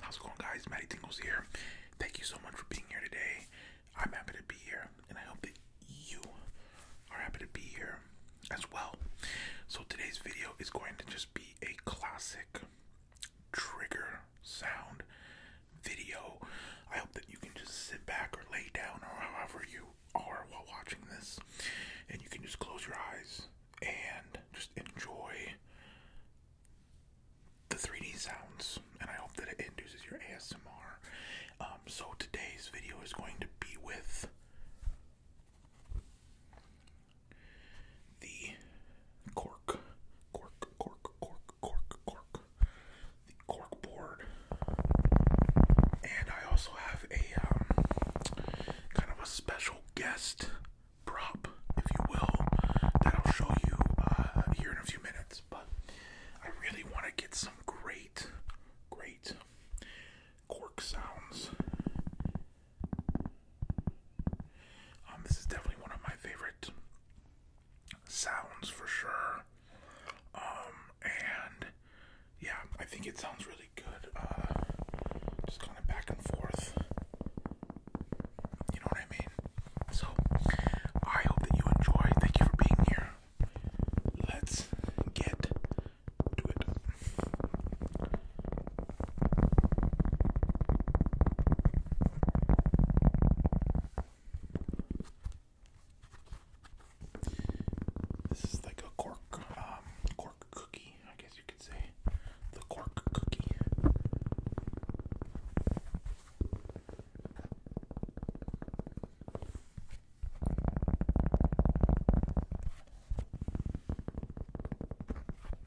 How's it going, guys? Maddie Tingles here. Thank you so much for being here today. I'm happy to be here, and I hope that you are happy to be here as well. So, today's video is going to just be a classic trigger sound, video. I hope that you can just sit back or lay down or however you are while watching this, and you can just close your eyes and just enjoy the 3D sounds. And I hope that it induces your ASMR. Um, so today's video is going to be with the cork, cork, cork, cork, cork, cork, the cork board, and I also have a um, kind of a special guest prop, if you will, that I'll show you uh, here in a few minutes. But I really want to get some great, great cork sounds. Um, this is definitely one of my favorite sounds for sure. Um, and yeah, I think it sounds really good. Uh, just kind of back and forth. You know what I mean? So, I hope that you enjoy. Thank you for being here. Let's get to it. This is like a cork, um, cork cookie, I guess you could say. The cork cookie.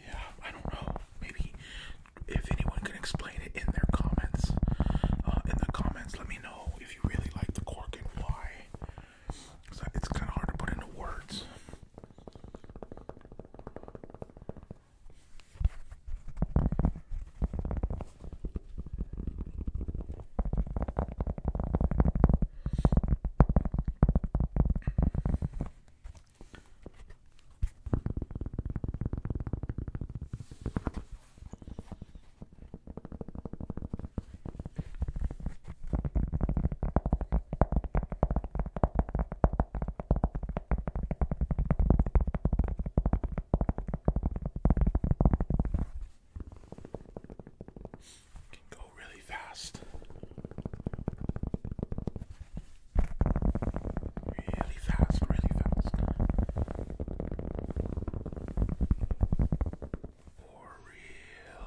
Yeah, I don't know. Maybe if anyone can explain it in their comments, uh, in the comments, let me know if you really like the cork and why. it's kind of hard to put into words. Can go really fast really fast, really fast, or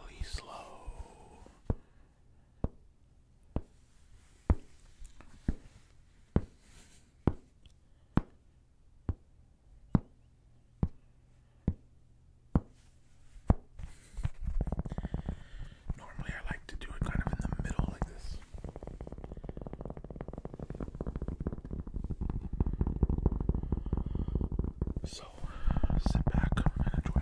really slow. Normally, I like to do it kind of in the middle like this. So, sit back and enjoy.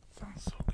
Sounds so good.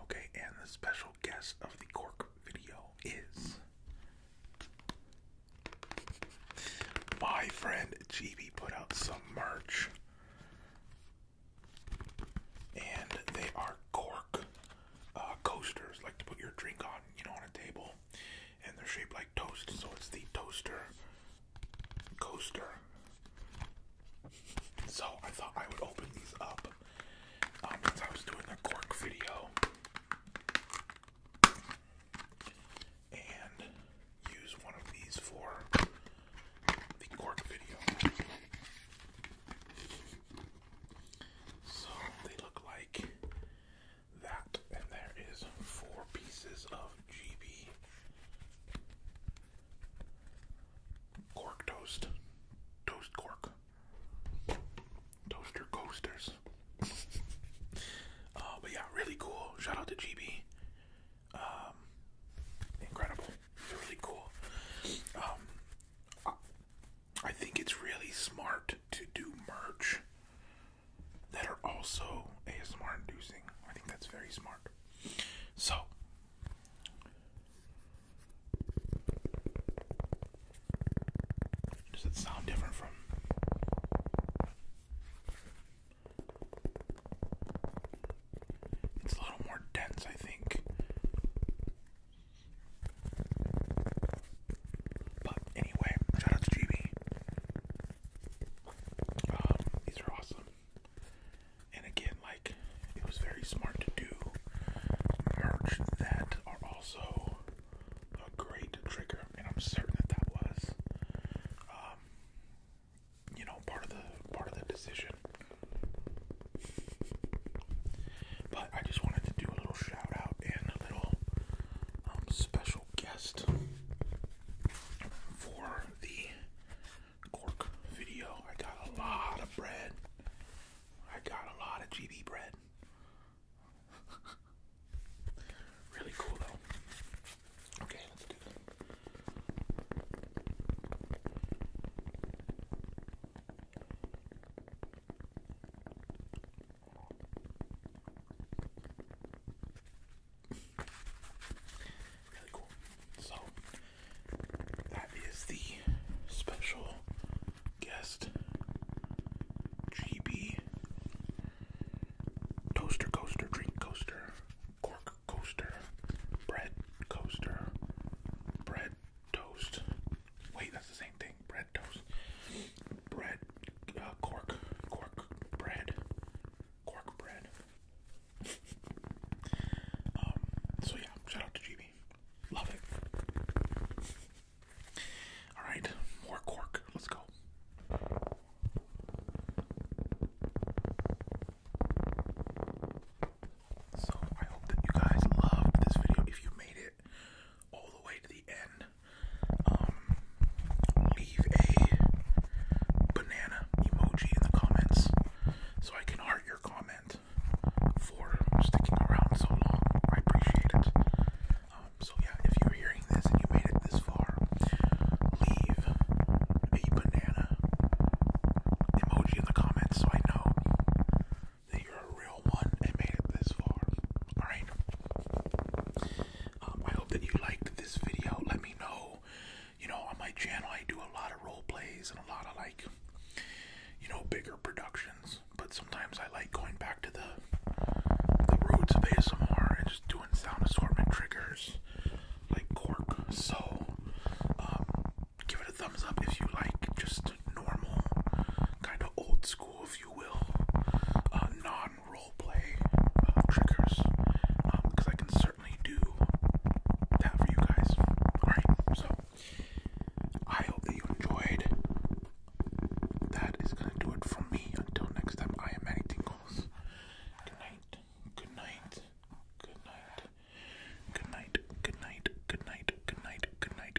Okay, and the special guest of the cork video is my friend GB put out some merch. And they are cork uh, coasters, like to put your drink on, you know, on a table, and they're shaped like toast. So it's the toaster coaster. So I thought I would open these up um, since I was doing the cork video and use one of these for the cork video. So they look like that, and there is four pieces of GB cork toast, toast cork, toaster coasters. Uh, but yeah, really cool. Shout out to GB. Um, incredible, really cool. Um, I think it's really smart to do merch that are also ASMR inducing. I think that's very smart. So, does it sound different from? It's a little more dense, I think. But anyway, shout out to GB. Um, these are awesome. And again, like it was very smart to do merch that are also a great trigger, and I'm certain that that was, um, you know, part of the part of the decision. But I just wanted to do a little shout and a little um, special guest for the cork video. I got a lot of bread. I got a lot of GB bread. really cool though. Okay, let's do that really cool. So that is the special guest GB Toaster Coaster Drink Coaster Cork Coaster Bread Coaster Bread toast. Wait, that's the same thing. Bread toast. Bread, uh, cork, cork bread, cork bread. um. So yeah, shout out to GB. Love it. All right, more cork. Let's go. So I hope that you guys loved this video. If you made it all the way to the end, um, leave a banana emoji in the comments so I can heart your comment for sticking around so long. I appreciate it. Um, so yeah, if you're hearing this and you made it this far, leave a banana emoji in the comments so I know that you're a real one and made it this far. Alright? Um, I hope that you liked this video. Let me know. You know, on my channel, I do a lot of role plays and a lot of like, you know, bigger productions. But sometimes I like going back to the the roots of ASMR and just doing sound assortment triggers like cork. So, um, give it a thumbs up if you like just normal, kind of old school, if you will, uh, non role play uh, triggers. Because um, I can certainly do that for you guys. Alright, so I hope that you enjoyed. That is going to do it for me. Until next time, I am Manny Good night. Good night. Good night. Good night. Good night. Good night. Good night. Good night